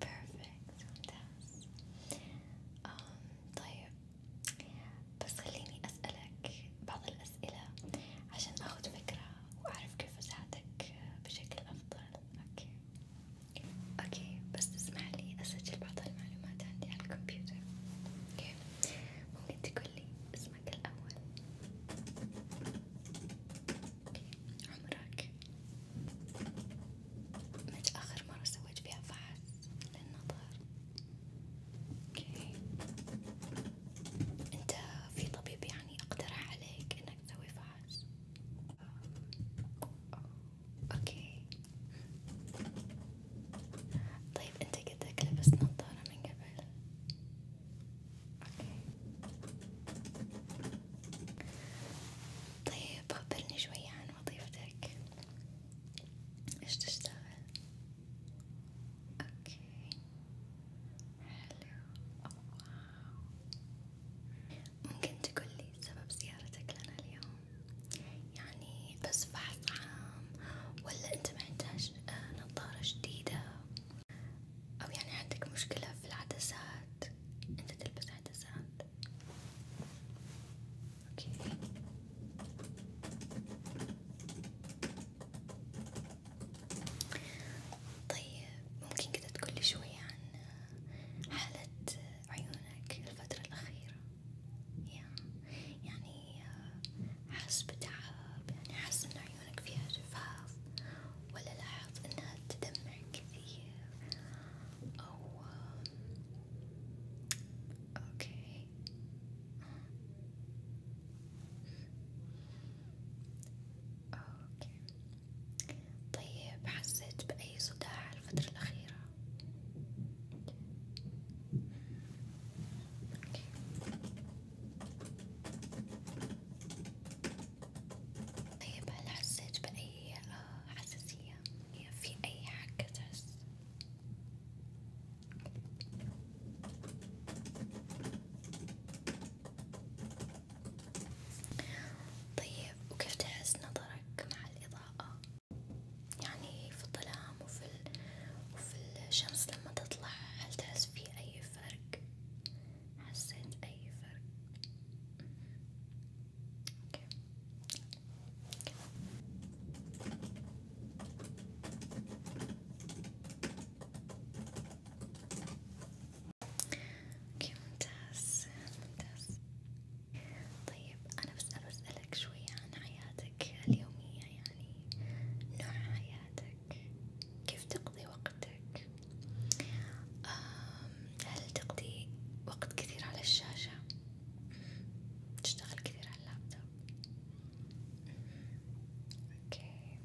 بيرفكت ممتاز um, طيب بس خليني أسألك بعض الأسئلة عشان أخذ فكرة وأعرف كيف أساعدك بشكل أفضل أوكي أوكي بس تسمح لي أسجل بعض المعلومات عندي على الكمبيوتر أوكي ممكن تقول لي اسمك الأول عمرك متى آخر مرة سويت فيها فحص للنظر؟ اوكي انت في طبيب يعني اقترح عليك انك تسوي فحص؟ اوكي طيب انت قدك لبست نظارة من قبل؟ طيب خبرني شوية عن وظيفتك ايش تشتغل؟ اوكي حلو واو ممكن تقولي سبب زيارتك لنا اليوم؟ يعني بس بحث عام ولا انت محتاج آه، نظارة جديدة؟ أو يعني عندك مشكلة في العدسات أنت تلبس عدسات أوكي طيب ممكن كده تقولي شوية عن حالة عيونك الفترة الأخيرة يعني آه، حس بتعب يعني حس إن عيونك فيها جفاف ولا لاحظ إنها تدمعك فيه أو أوكي أوكي طيب حسيت بأي صداع الفترة الأخيرة؟ أوكي. طيب هل حسيت بأي آه، حساسية؟ يعني في أي حاجة تحس؟ طيب وكيف تحس نظرك مع الإضاءة؟ يعني في الظلام وفي, ال... وفي الشمس لما تطلع هل تحس في أي فرق؟ حسيت أي فرق؟ أوكي. أوكي. اوكي ممتاز ممتاز طيب انا بس اسألك شوية عن حياتك اليومية يعني نوع حياتك كيف تقضي وقتك هل تقضي وقت كثير على الشاشة؟ تشتغل كثير على اللابتوب؟ أوكي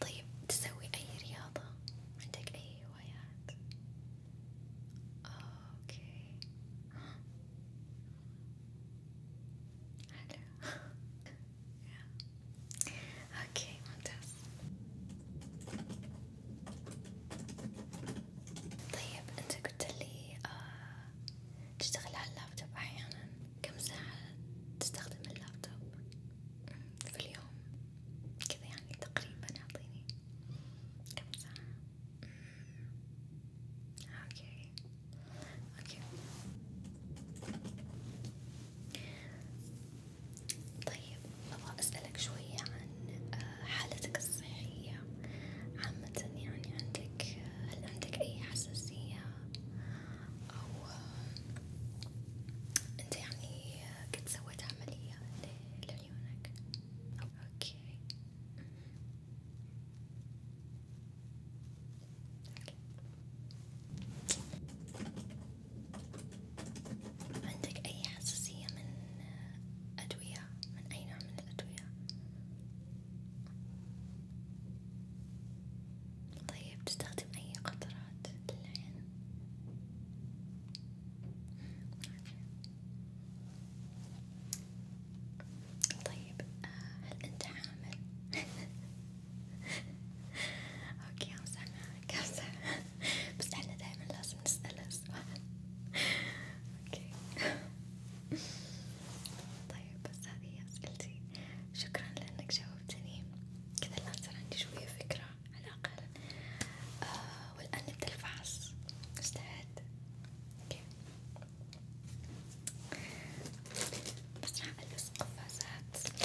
طيب تسوي أي رياضة؟ عندك أي هوايات؟ أوكي حلو اوكي ممتاز طيب انت قلت لي آه تشتغل على اللابتوب احيانا كم ساعة تستخدم اللابتوب في اليوم كذا يعني تقريبا اعطيني كم ساعة اوكي اوكي طيب أبغى أسألك شوية عن آه، حالتك الصحية عامة يعني عندك هل عندك أي حساسية أو آه، أنت يعني آه، قد سويت عملية لعيونك؟ أوكي. أمم. أوكي. عندك أي حساسية من أدوية من أي نوع من الأدوية؟ طيب تستخدم أي قطرات للعين؟ طيب آه، هل أنت حامل؟ أوكي أمزح معك أمزح بس احنا دايما لازم نسأل السؤال اوكي طيب بس هذه هي اسئلتي شكرا لانك جاوبتني كذا الان صار عندي شوية فكرة على الاقل آه والان نبدأ الفحص مستعد اوكي بس راح البس قفازات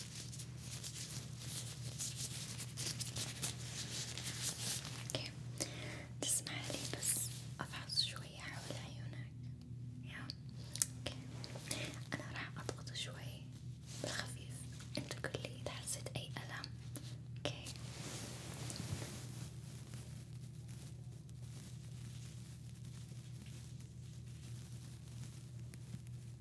اوكي تسمع لي بس افحص شوية حول عيونك يا اوكي انا راح اضغط شوي بالخفيف انت قل لي اذا حسيت اي الم اوكي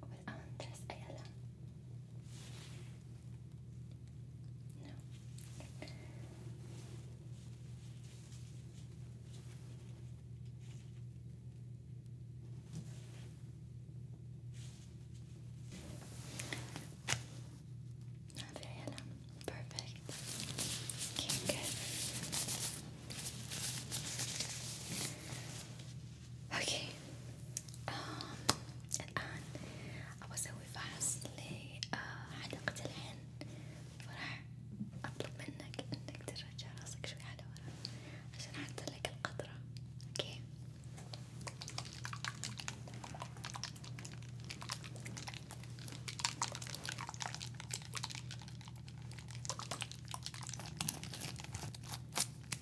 with Andres Ayala. No. Not very enough. Perfect. Okay, اوكي الآن أبغى أسوي فحص لحديقة العين فراح أطلب منك إنك ترجع راسك شوي على ورا عشان أحط لك القطرة اوكي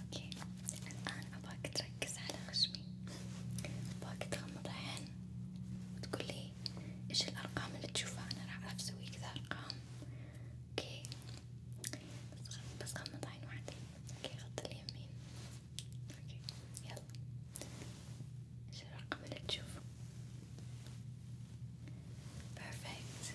اوكي الآن أباك تركز على خشمي أباك تغمض عين وتقولي إيش الأرقام اللي تشوفها أنا راح أعرف أسوي كذا أرقام اوكي بس بس غمض عين واحدة اوكي غطي اليمين اوكي يلا إيش الرقم اللي تشوفه؟ Perfect.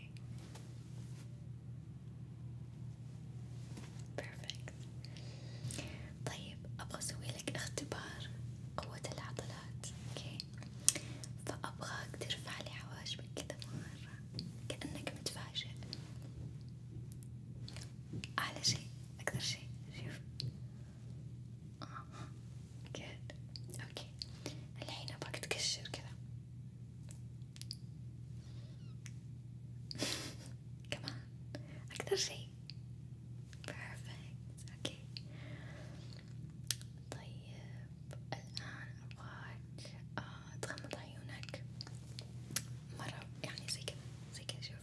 perfect طيب أبغى أسوي لك اختبار قوة العضلات أوكي فأبغاك ترفع لي حواجبك كذا مرة كأنك متفاجئ أعلى شي أكثر شي شوف آه good أوكي الحين أبغاك تكشر كذا كمان أكثر شيء perfect أوكي طيب الآن أبغاك آه تغمض عيونك مرة يعني زي كذا زي كذا شوف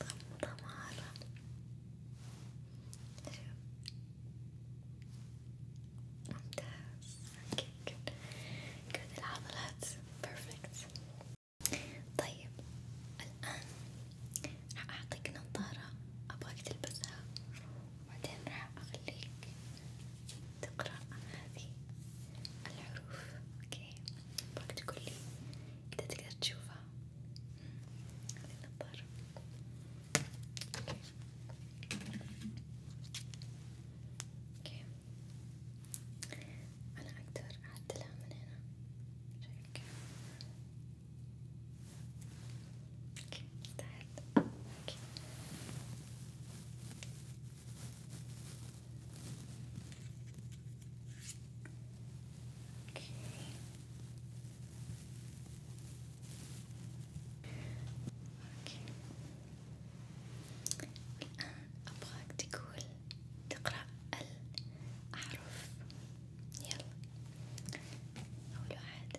تغمضها مرة شوف ممتاز Okay, good. good العضلات perfect. طيب الآن راح أعطيك نظارة أبغاك تلبسها وبعدين راح أخليك تقرأ هذه الحروف أوكي أبغاك تقولي كده تقدر تشوفها هذه النظارة أوكي أنا أقدر أعدلها من هنا شايف كيف؟ تحت أوكي أوكي أوكي الآن أبغاك تقول تقرأ الأحرف يلا أول واحد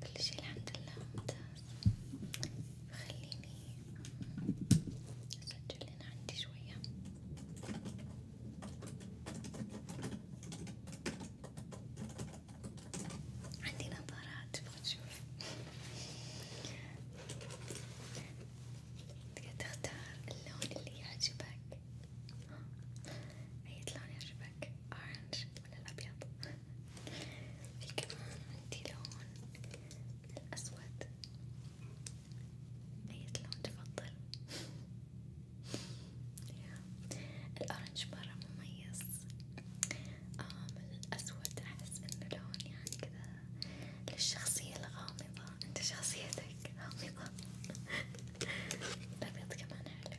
كل شي الحمد لله ممتاز خليني أسجل هنا عندي شوية عندي نظارات تبغى تشوف تقدر تختار اللون اللي يعجبك أي لون يعجبك؟ أورنج من الأبيض، في كمان عندي لون من الأسود، أي لون تفضل؟ الأورنج مرة مميز، آم الأسود أحس إنه لون يعني كذا للشخصية الغامضة، أنت شخصيتك غامضة، الأبيض كمان حلو.